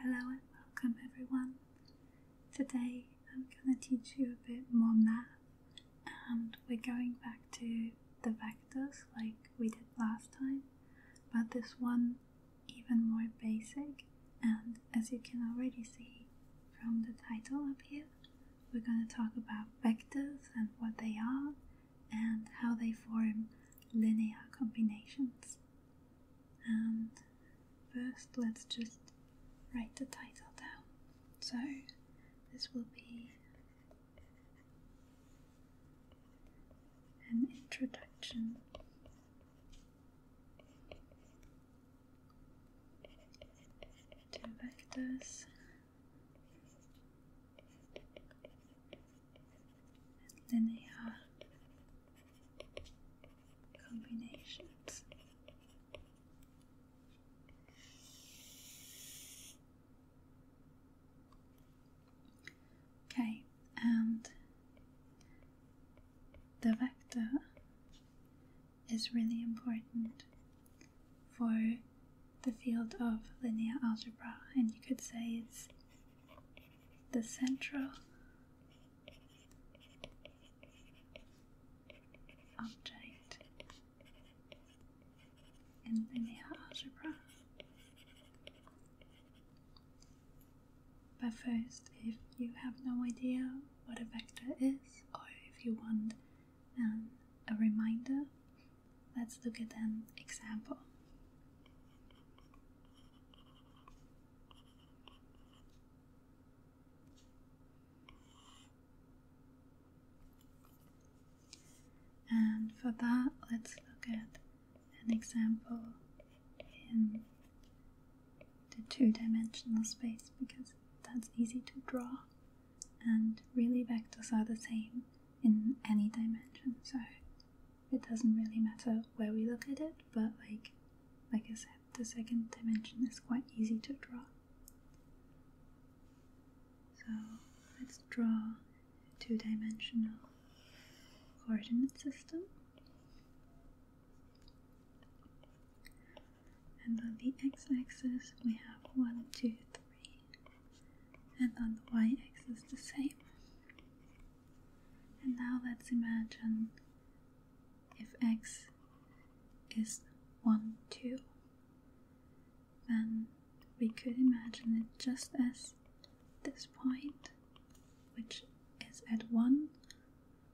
Hello and welcome everyone. Today I'm going to teach you a bit more math and we're going back to the vectors like we did last time but this one even more basic and as you can already see from the title up here we're going to talk about vectors and what they are and how they form linear combinations and first let's just write the title down. So this will be an introduction to vectors linear combinations. Okay, and the vector is really important for the field of linear algebra, and you could say it's the central object in linear algebra. But first, if you have no idea what a vector is, or if you want um, a reminder, let's look at an example. And for that, let's look at an example in the two dimensional space because that's easy to draw, and really, vectors are the same in any dimension, so it doesn't really matter where we look at it, but like like I said, the second dimension is quite easy to draw. So let's draw a two-dimensional coordinate system. And on the x-axis we have 1, 2, 3. And on the y-axis the same. And now let's imagine if x is 1, 2, then we could imagine it just as this point, which is at 1,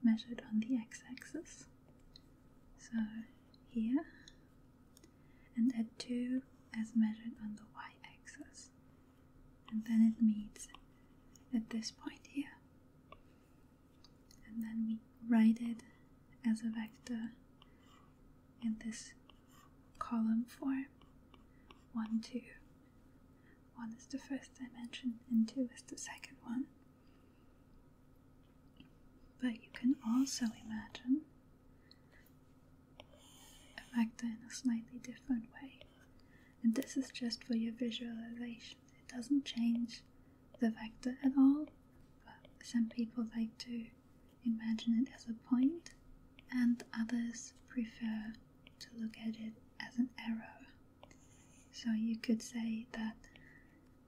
measured on the x axis. So here, and at 2 as measured on the y axis and then it meets at this point here. And then we write it as a vector in this column form 1, 2. 1 is the first dimension, and 2 is the second one. But you can also imagine a vector in a slightly different way and this is just for your visualization. It doesn't change the vector at all, but some people like to imagine it as a point, and others prefer to look at it as an arrow. So you could say that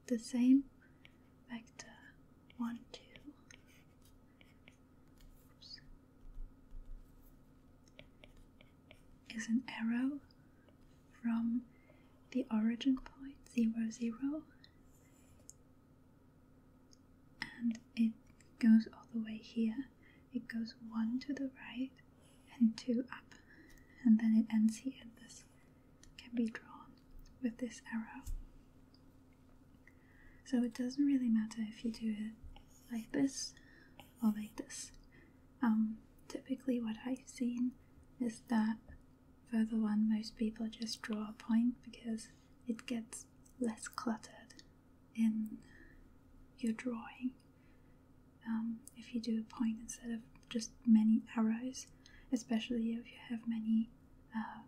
the same vector 1, 2 is an arrow from the origin point zero zero and it goes all the way here. It goes one to the right and two up, and then it ends here. This can be drawn with this arrow. So it doesn't really matter if you do it like this or like this. typically, what I've seen is that for the one most people just draw a point because it gets less cluttered in your drawing. Um, if you do a point instead of just many arrows, especially if you have many uh,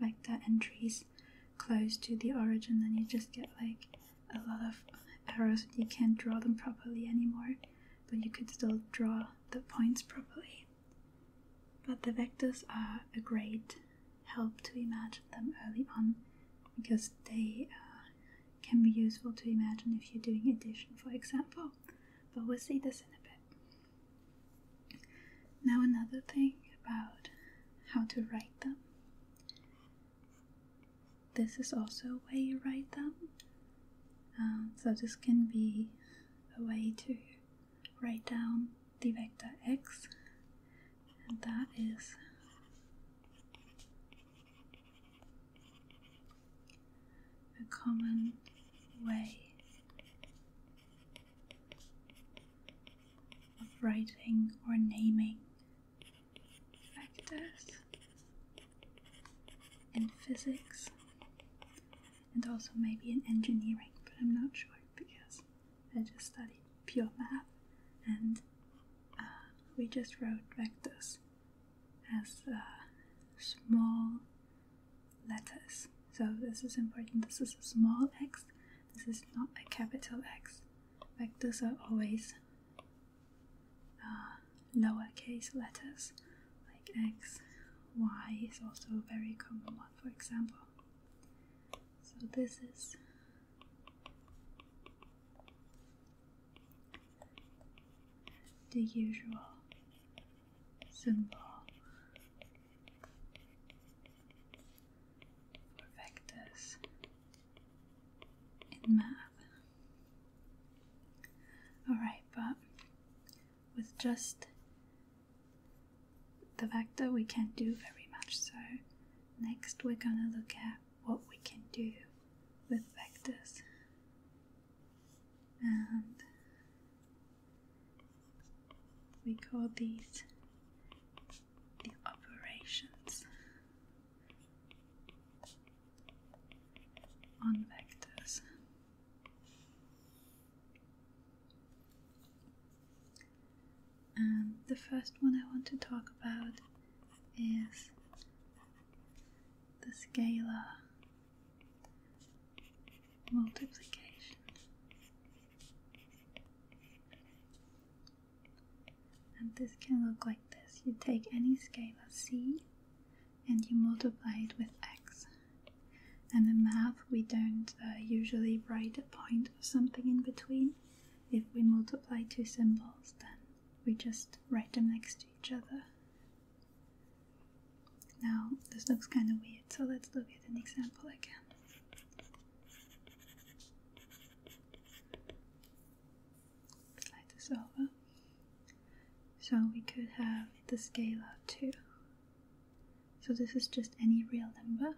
vector entries close to the origin, then you just get like a lot of arrows. You can't draw them properly anymore, but you could still draw the points properly. But the vectors are a great help to imagine them early on because they uh, can be useful to imagine if you're doing addition, for example. But we'll see this in a bit. Now, another thing about how to write them. This is also a way you write them. Um, so this can be a way to write down the vector x, and that is a common way of writing or naming like in physics and also maybe in engineering, but I'm not sure because I just studied pure math and uh, we just wrote vectors as uh, small letters. So this is important. This is a small x, this is not a capital X. Vectors are always uh, lowercase letters, like x, y is also a very common one, for example. So this is the usual symbol for vectors in math. Alright, but with just the vector, we can't do very much. So, next we're gonna look at what we can do with vectors. And we call these the operations on vectors. And the first one I want to talk about is the scalar multiplication. And this can look like this. You take any scalar c and you multiply it with x. And in math, we don't uh, usually write a point or something in between. If we multiply two symbols, then we just write them next to each other. Now, this looks kind of weird, so let's look at an example again slide this over. So we could have the scalar too. So this is just any real number.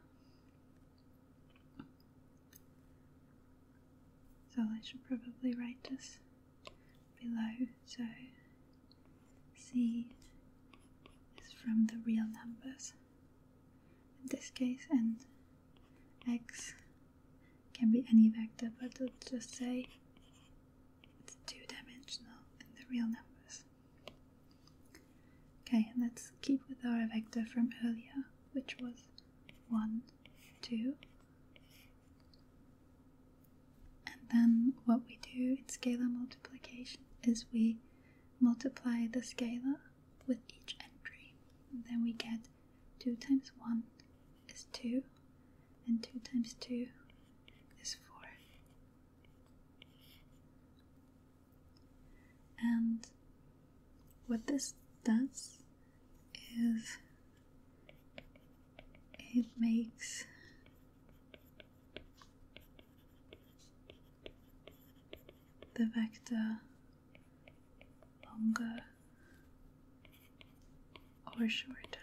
So I should probably write this below. So C is from the real numbers in this case, and x can be any vector, but let's just say it's two-dimensional in the real numbers. Okay, and let's keep with our vector from earlier, which was 1, 2. And then what we do in scalar multiplication is we multiply the scalar with each entry, and then we get 2 times 1 is 2, and 2 times 2 is 4. And what this does is it makes the vector longer or shorter.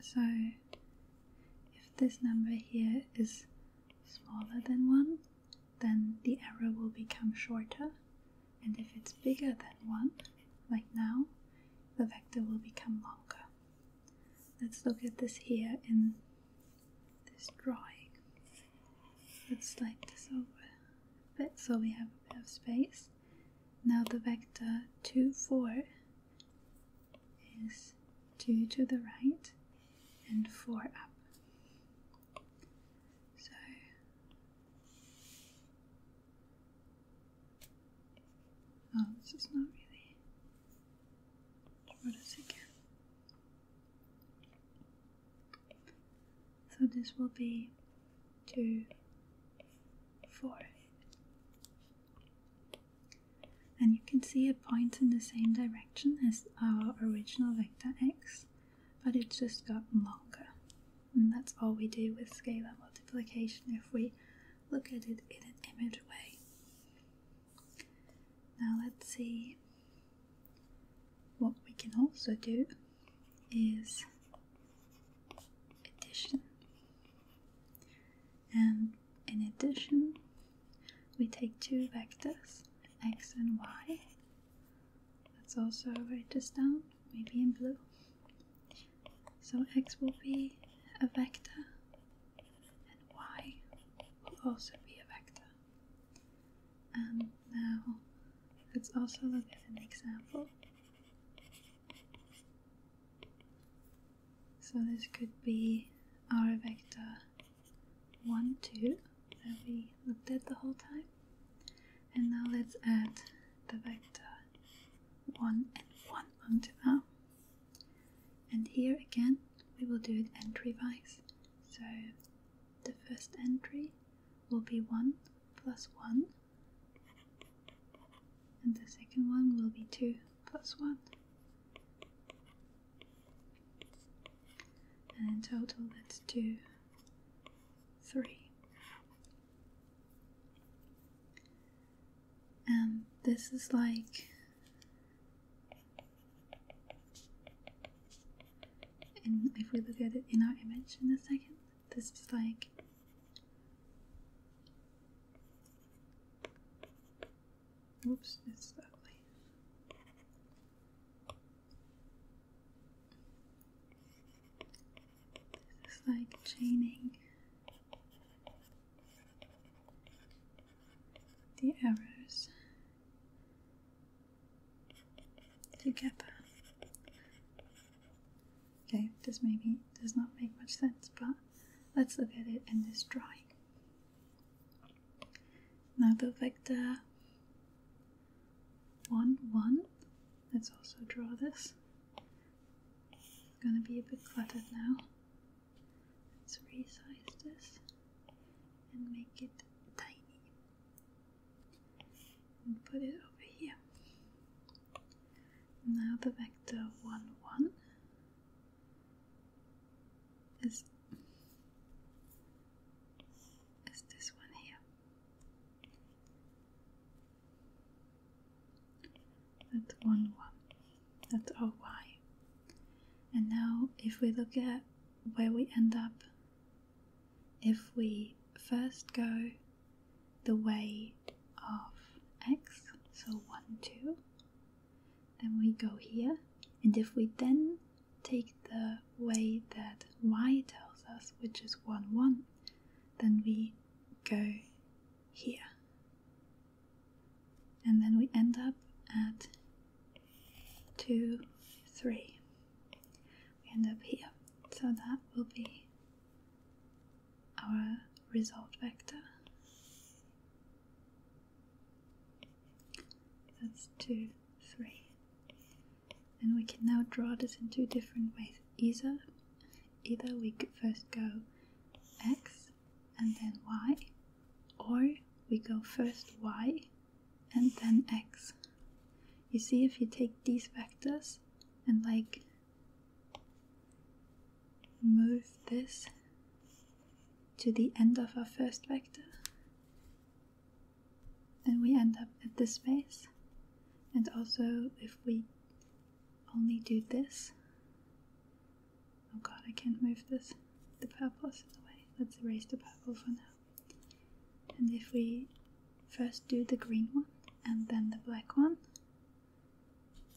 So, if this number here is smaller than 1, then the arrow will become shorter, and if it's bigger than 1, like now, the vector will become longer. Let's look at this here in this drawing. Let's slide this over a bit so we have a bit of space. Now the vector 2, 4 is 2 to the right and 4 up. So Oh, this is not really. What is it again? So this will be two, four. And you can see it points in the same direction as our original vector x, but it's just got longer. And that's all we do with scalar multiplication if we look at it in an image way. Now let's see what we can also do is addition, and in addition, we take two vectors x and y. Let's also write this down, maybe in blue. So x will be a vector and y will also be a vector. And um, now let's also look at an example. So this could be our vector 1, 2 that we looked at the whole time. And now let's add the vector 1 and 1 onto that. And here again we will do it entry-wise. So the first entry will be 1 plus 1, and the second one will be 2 plus 1. And in total, that's 2, 3. And this is like and if we look at it in our image in a second, this is like Oops, this is ugly. This is like chaining the arrows you get Okay, this maybe does not make much sense, but let's look at it in this drawing. Now the vector 1, 1, let's also draw this. It's gonna be a bit cluttered now. Let's resize this and make it tiny and put it over here. Now the vector 1 1 is, is this one here. That's 1 1. That's our y. And now if we look at where we end up if we first go the way of x, so 1, 2, then we go here, and if we then take the way that y tells us, which is 1, 1, then we go here. And then we end up at two, three. We end up here. So that will be our result vector. That's two, three. And we can now draw this in two different ways. Either, either we first go x and then y, or we go first y and then x. You see, if you take these vectors and like move this to the end of our first vector, then we end up at this base. And also, if we only do this, oh god, I can't move this. The purple's in the way. Let's erase the purple for now. And if we first do the green one and then the black one,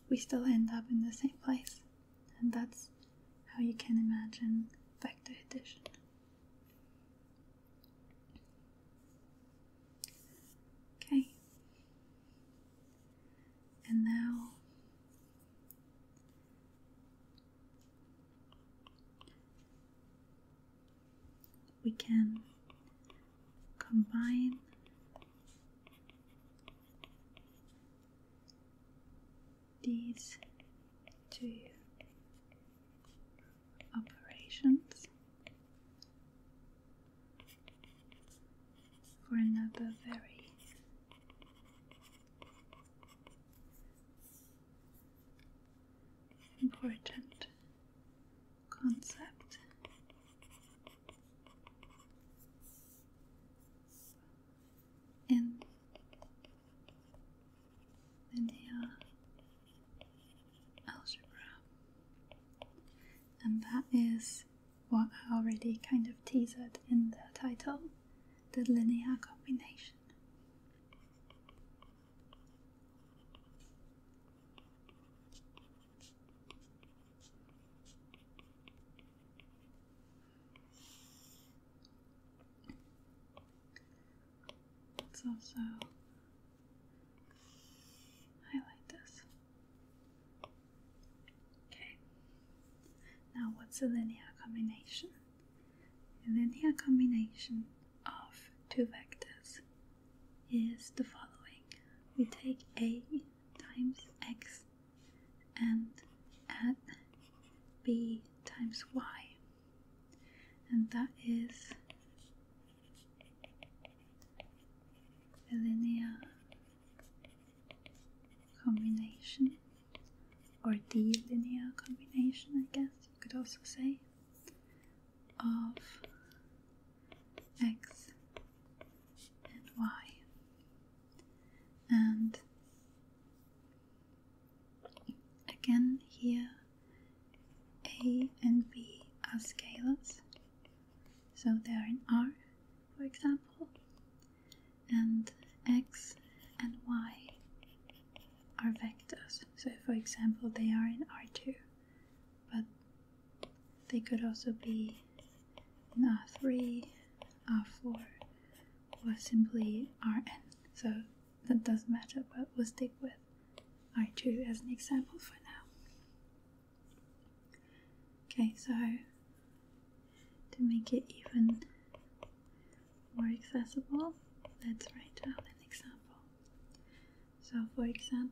we still end up in the same place. And that's how you can imagine vector addition. Okay. And now we can combine these two operations for another very important concept. In algebra, and that is what I already kind of teased in the title the linear combination. Let's also highlight this. Okay, now what's a linear combination? and the linear combination of two vectors is the following. We take a times x and add b times y, and that is a linear combination or the linear combination, I guess you could also say, of x and y. And again, here a and b are scalars, so they are in R, for example, and x and y are vectors. So, for example, they are in R2, but they could also be R3, R4, or simply Rn. So that doesn't matter, but we'll stick with R2 as an example for now. Okay, so to make it even more accessible. Let's write out an example. So, for example,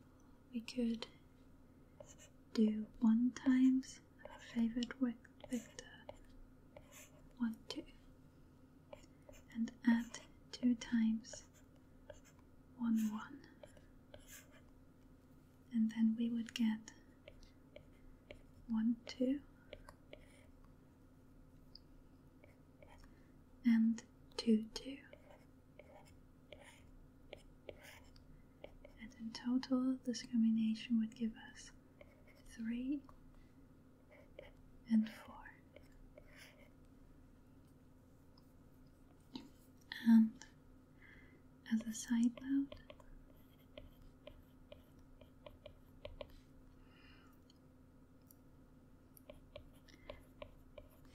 we could do 1 times our favorite vector 1, 2 and add 2 times 1, 1 and then we would get 1, 2 and two two, And in total, this combination would give us 3 and 4. And as a side note,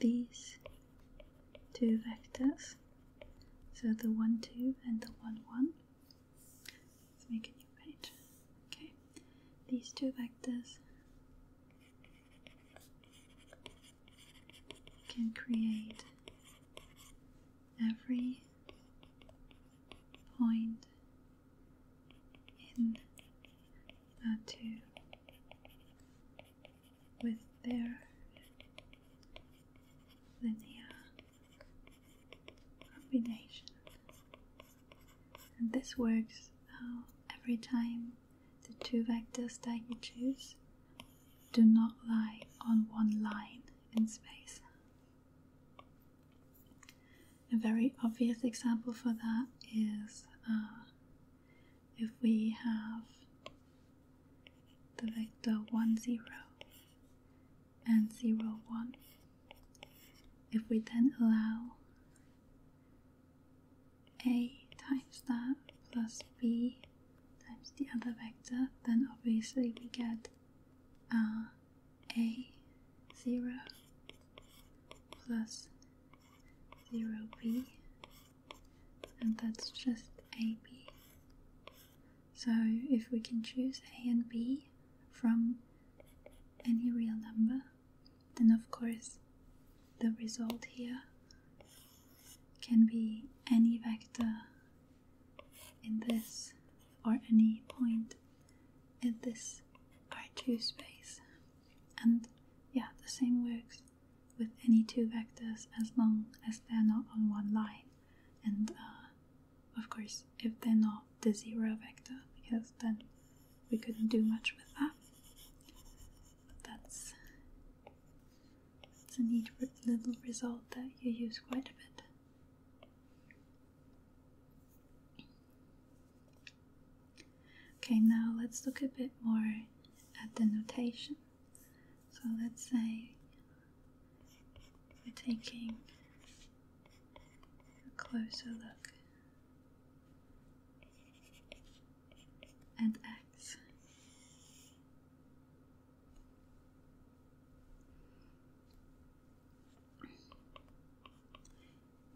these two vectors, so the 1 2 and the 1 1. Let's make a new page. Okay, these two vectors can create every point in tattoo with their linear combination. And this works every time the two vectors that you choose do not lie on one line in space. A very obvious example for that is uh, if we have the vector 1, 0 and 0, 1. If we then allow a times that plus b times the other vector, then obviously we get uh, a zero plus zero b and that's just ab so if we can choose a and b from any real number then of course the result here can be any vector in this or any point in this R2 space. And yeah, the same works with any two vectors as long as they're not on one line. And uh, of course, if they're not the zero vector, because then we couldn't do much with that. That's, that's a neat little result that you use quite a bit. Okay, now let's look a bit more at the notation. So let's say we're taking a closer look at X.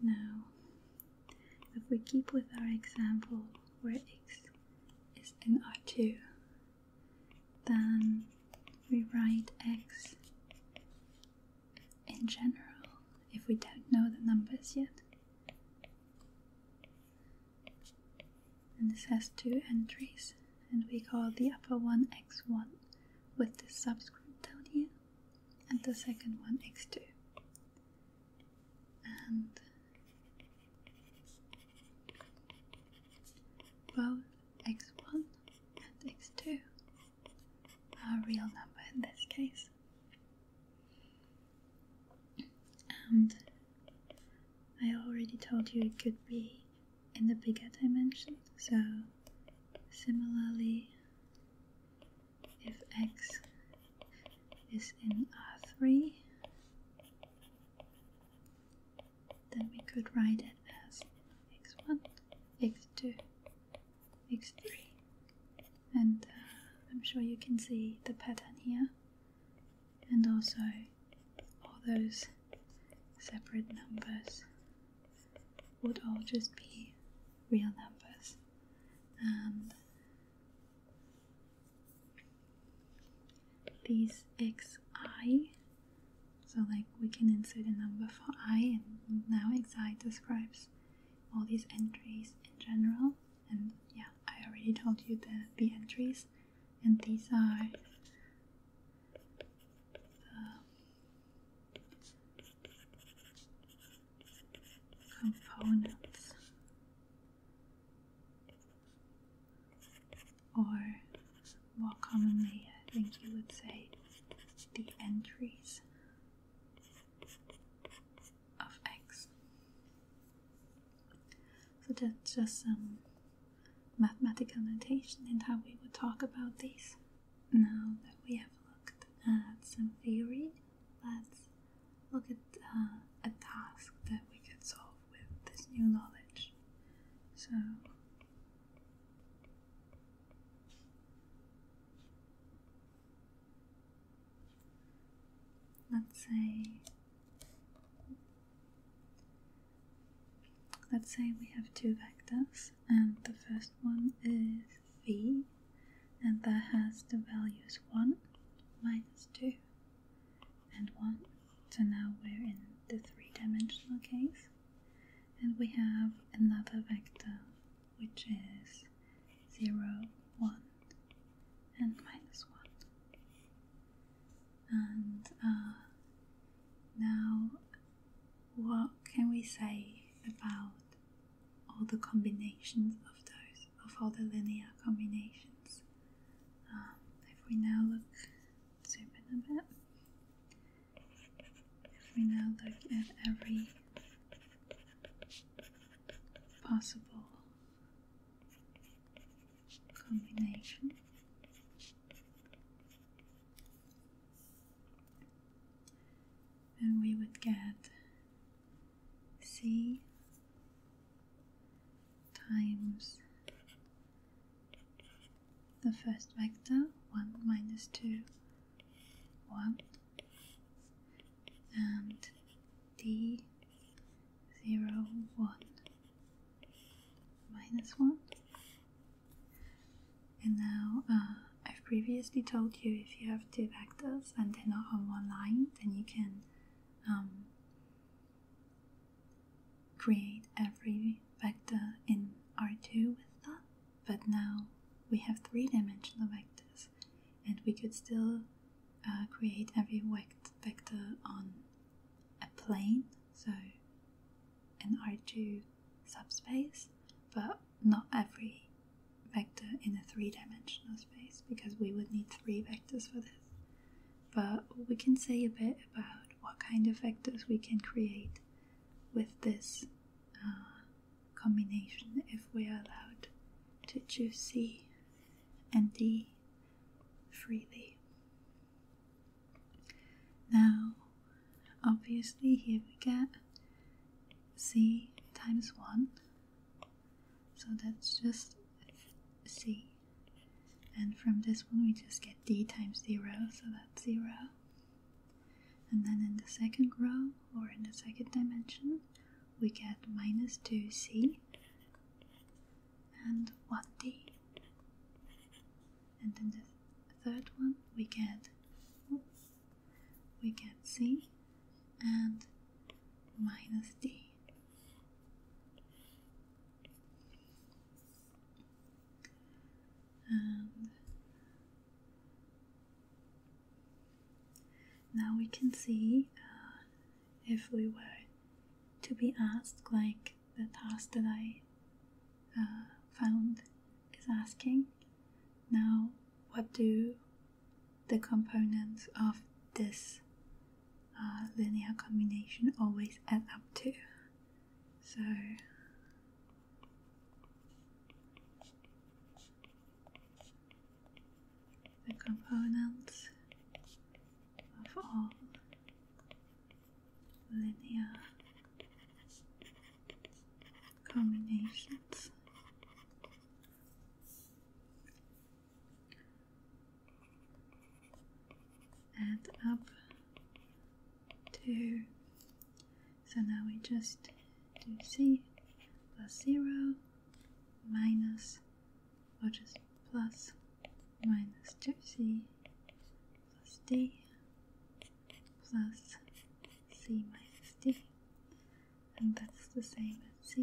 Now, if we keep with our example where x is in R2, then we write x in general if we don't know the numbers yet. And this has two entries, and we call the upper one x1 with the subscript down here and the second one x2 and both x1 and x2 are real number in this case and I already told you it could be in the bigger dimension so similarly if x is in R3, then we could write it as x1, x2, x3. And uh, I'm sure you can see the pattern here, and also all those separate numbers would all just be real numbers and these xi so like we can insert a number for i and now xi describes all these entries in general and yeah i already told you the, the entries and these are components or more commonly I think you would say the entries of X. So that's just some mathematical notation and how we would talk about these now that we have looked at some theory, let's look at uh, a task that we could solve with this new knowledge. So, let's say let's say we have two vectors and the first one is V, and that has the values 1, minus 2 and 1 so now we're in the three-dimensional case and we have another vector which is 0, 1 and minus 1 and uh, now what can we say about all the combinations of those, of all the linear combinations. Um, if we now look, zoom in a bit, if we now look at every possible combination and we would get c times the first vector 1 minus 2 1 and d 0 1 minus 1 and now uh, I've previously told you if you have two vectors and they're not on one line, then you can um, create every vector in R2 with that. But now we have three-dimensional vectors, and we could still uh, create every vector on a plane, so in R2 subspace, but not every vector in a three dimensional space because we would need three vectors for this. But we can say a bit about what kind of vectors we can create with this uh, combination if we are allowed to choose C and D freely. Now, Obviously, here we get c times 1. So that's just c. And from this one, we just get d times 0, so that's 0. And then in the second row, or in the second dimension, we get minus 2c and 1d. And in the third one, we get we get c and minus d. And now we can see uh, if we were to be asked, like the task that I uh, found is asking, now, what do the components of this uh, linear combination always add up to? So, the components of all linear combinations. Add up to so now we just do c plus zero minus or just plus minus two c plus d plus c minus d and that's the same as c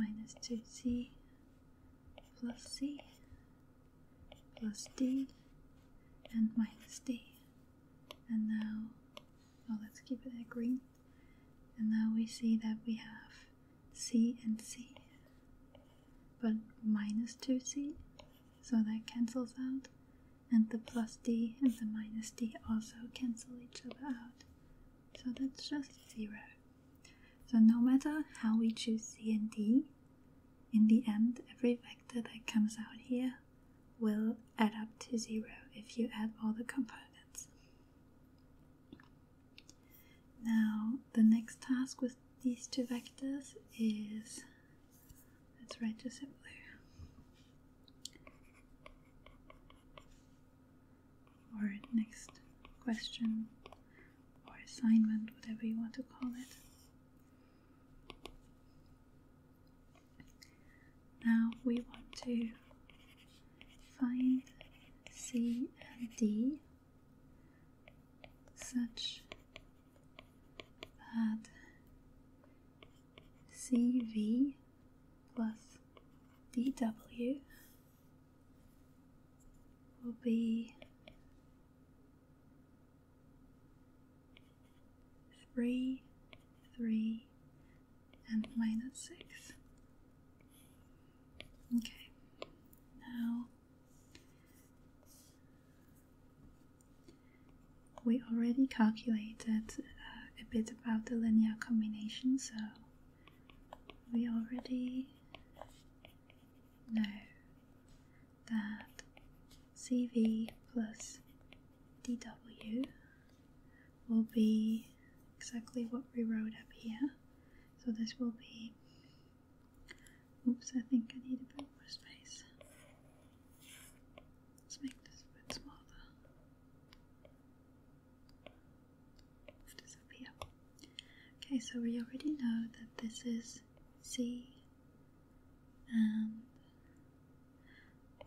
minus 2c plus c plus d and minus d and now well let's keep it at green and now we see that we have c and c but minus 2c so that cancels out and the plus d and the minus d also cancel each other out. So that's just 0. So no matter how we choose c and d, in the end every vector that comes out here will add up to 0 if you add all the components. Now the next task with these two vectors is Let's write register it blue. Or next question or assignment, whatever you want to call it. Now we want to find C and D such that CV plus DW will be three, three, and minus six. Okay, now we already calculated uh, a bit about the linear combination, so we already know that CV plus DW will be exactly what we wrote up here. So this will be, oops, I think I need a bit more space. Let's make this a bit smaller. Disappear. Okay, so we already know that this is c and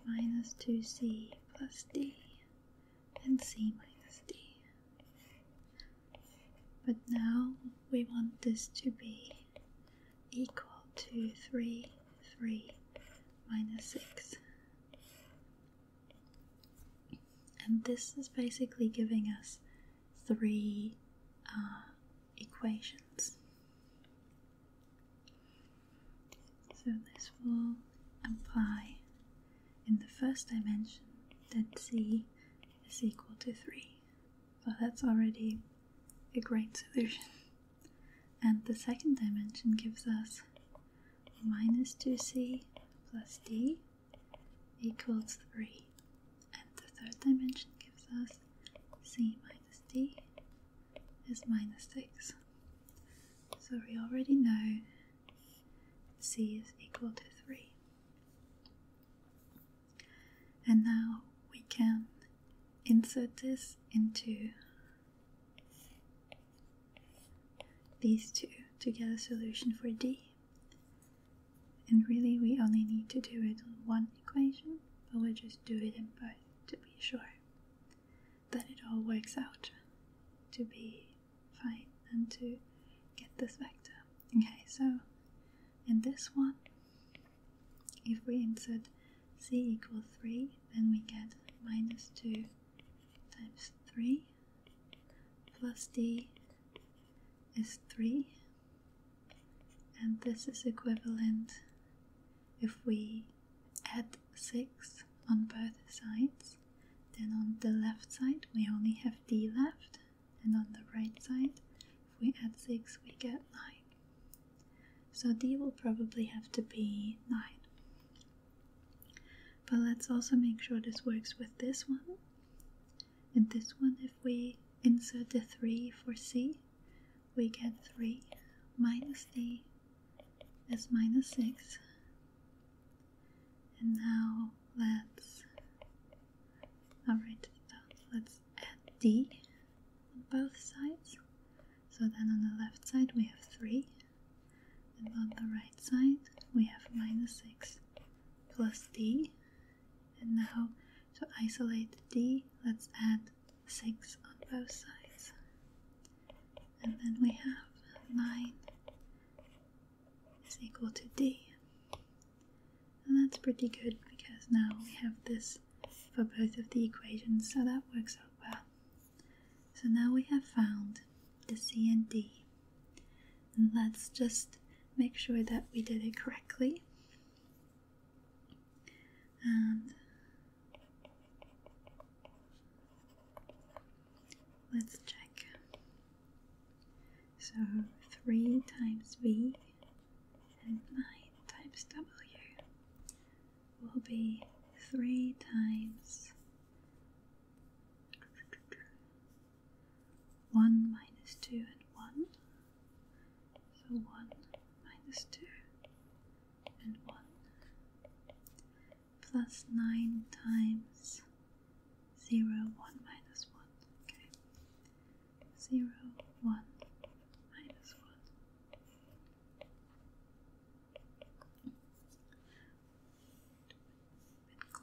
minus 2c plus d and c minus d. But now we want this to be equal to 3, 3 minus 6. And this is basically giving us three uh, equations. So this will imply in the first dimension that c is equal to 3. So that's already a great solution. And the second dimension gives us minus 2c plus d equals 3. And the third dimension gives us c minus d is minus 6. So we already know c is equal to 3. And now we can insert this into these two to get a solution for d. And really, we only need to do it on one equation, but we'll just do it in both to be sure that it all works out to be fine and to get this vector. Okay, so in this one, if we insert c equals 3, then we get minus 2 times 3 plus d is 3 and this is equivalent if we add 6 on both sides then on the left side we only have d left and on the right side if we add 6 we get 9 so D will probably have to be 9. But let's also make sure this works with this one. In this one, if we insert the 3 for C, we get 3 minus D is minus 6. And now let's I'll Let's add D on both sides. So then on the left side we have 3 and on the right side we have minus 6 plus d and now to isolate d let's add 6 on both sides and then we have 9 is equal to d and that's pretty good because now we have this for both of the equations, so that works out well. So now we have found the C and D. And let's just make sure that we did it correctly. And let's check. So 3 times V and 9 times W will be three times one minus two and one. So one minus two and one plus nine times zero one minus one. Okay. Zero one minus one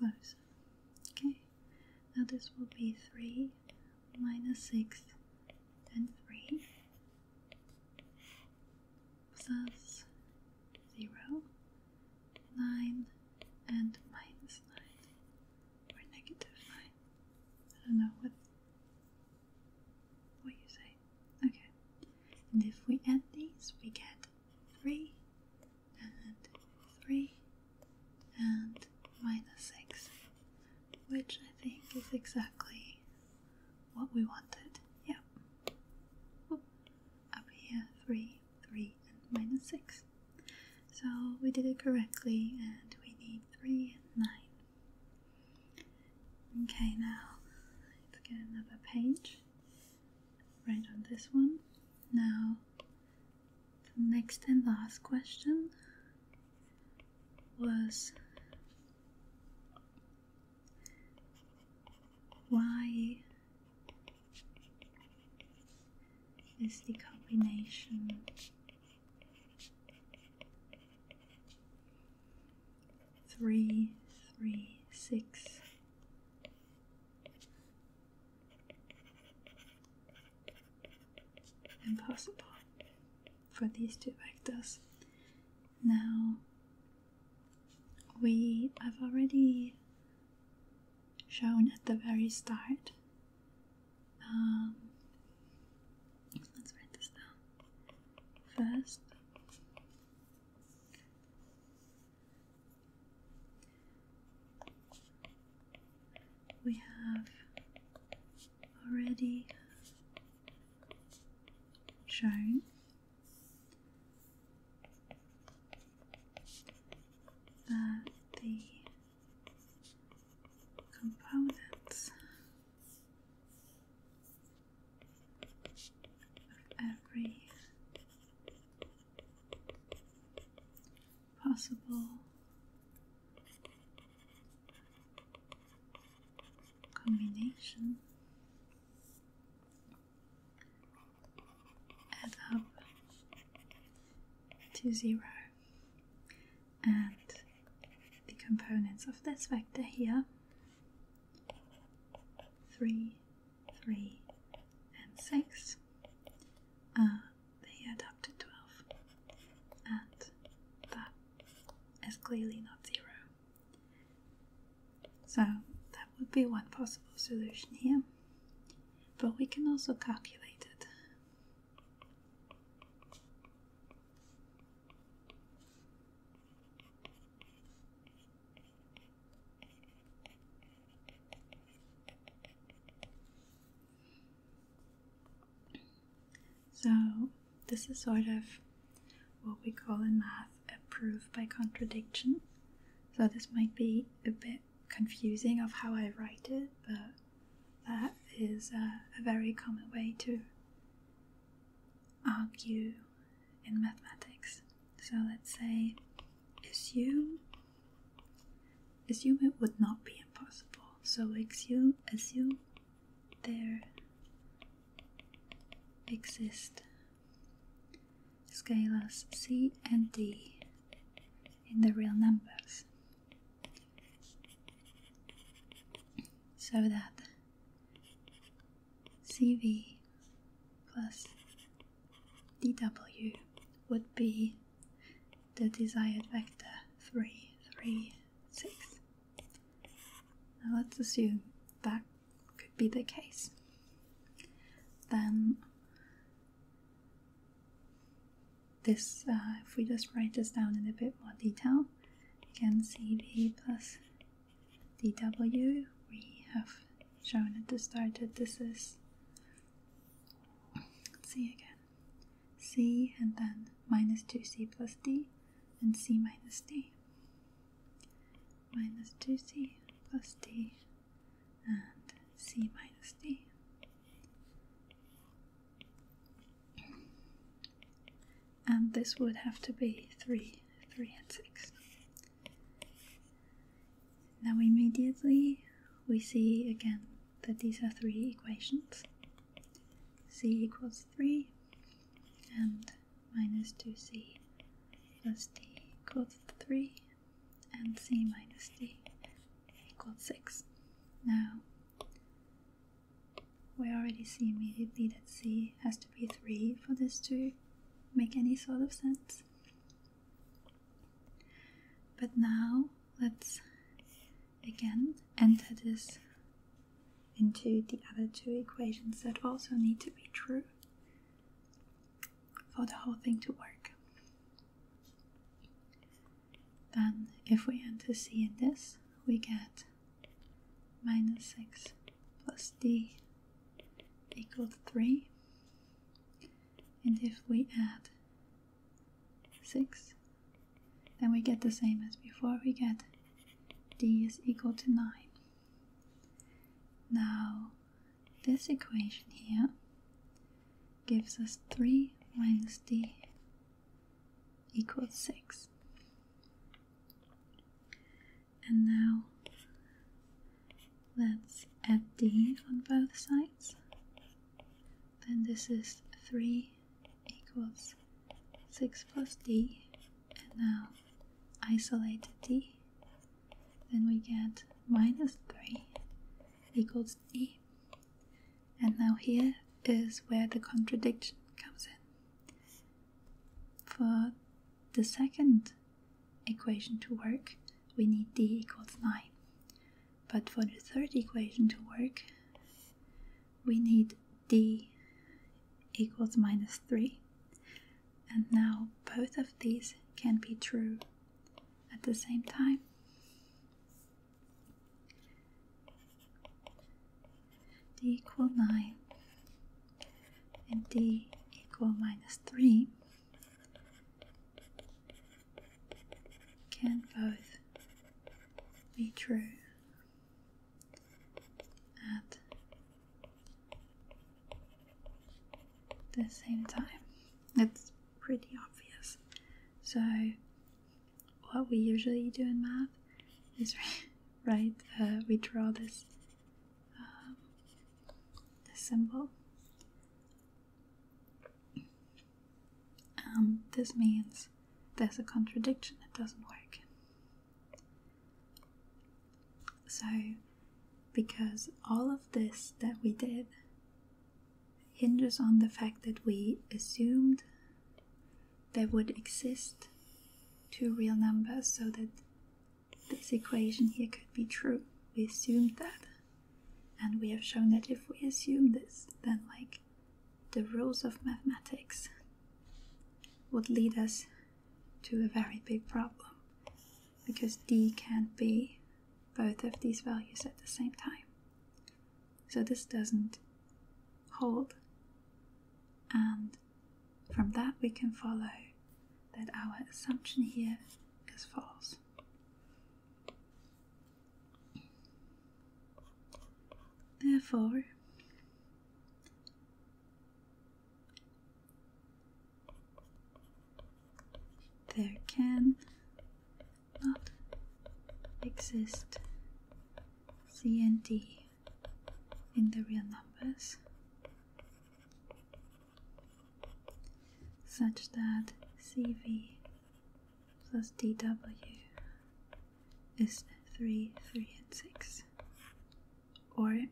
bit Okay, now this will be 3 minus 6, then 3 plus 0, 9, and minus 9, or negative 9. I don't know what what you say? Okay. And if we add these, we get three and three and minus six, which I think is exactly what we wanted. Yep. Up here, three, three, and minus six. So we did it correctly, and we need three and nine. Okay, now let's get another page. Right on this one. Now, the next and last question was why is the combination three, three, six. Impossible for these two vectors. Now, we have already shown at the very start. Um, let's write this down first. We have already shown that the components every possible combination add up to zero and the components of this vector here 3, 3, and 6 are the adapted 12, and that is clearly not 0. So that would be one possible solution here, but we can also calculate it. So, this is sort of what we call in math a proof by contradiction. So, this might be a bit confusing of how I write it, but that is a, very common way to argue in mathematics. So let's say assume assume it would not be impossible. So assume assume there exist scalars c and d in the real numbers so that CV plus DW would be the desired vector three, three, six. Now let's assume that could be the case. Then this, uh, if we just write this down in a bit more detail, you can plus DW we have shown at the start that this is let's see again C and then minus 2C plus D and C minus D minus 2C plus D and C minus D and this would have to be 3, 3 and 6. Now immediately we see again that these are three equations. c equals 3 and minus 2c plus d equals 3 and c minus d equals 6. Now we already see immediately that c has to be 3 for this to make any sort of sense. But now let's again enter this into the other two equations that also need to be true for the whole thing to work. Then, if we enter c in this, we get 6 minus plus d equals 3 and if we add 6 then we get the same as before we get d is equal to 9 now this equation here gives us 3 minus d equals 6. And now let's add d on both sides. Then this is 3 equals 6 plus d. And now isolate d. Then we get minus 3 equals d. And now here is where the contradiction comes in. For the second equation to work, we need d equals 9. But for the third equation to work, we need d equals minus 3. And now both of these can be true at the same time d equal 9 and d equal minus 3 can both be true at the same time. It's pretty obvious. So what we usually do in math is right uh, we draw this um, this symbol um, this means there's a contradiction it doesn't work so because all of this that we did hinges on the fact that we assumed there would exist two real numbers so that this equation here could be true. We assumed that. And we have shown that if we assume this, then like the rules of mathematics would lead us to a very big problem because d can't be both of these values at the same time. So this doesn't hold. And from that, we can follow that our assumption here is false. Therefore, there can not exist C and D in the real numbers, such that CV plus DW is 3, 3, and 6. Or you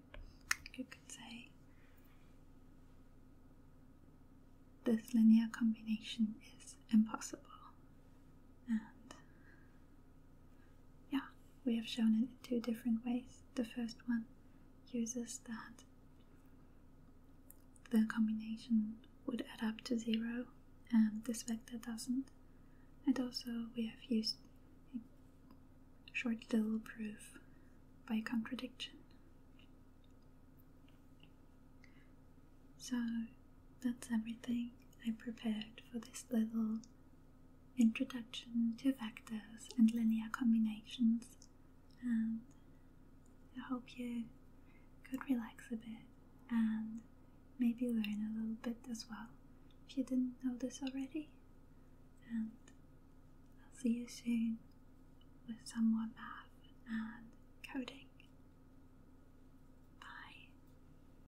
could say this linear combination is impossible and yeah, we have shown it in two different ways. The first one uses that the combination would add up to zero and this vector doesn't. And also we have used a short little proof by contradiction. So that's everything I prepared for this little introduction to vectors and linear combinations, and I hope you could relax a bit and maybe learn a little bit as well if you didn't know this already. And I'll see you soon with some more math and coding. Bye.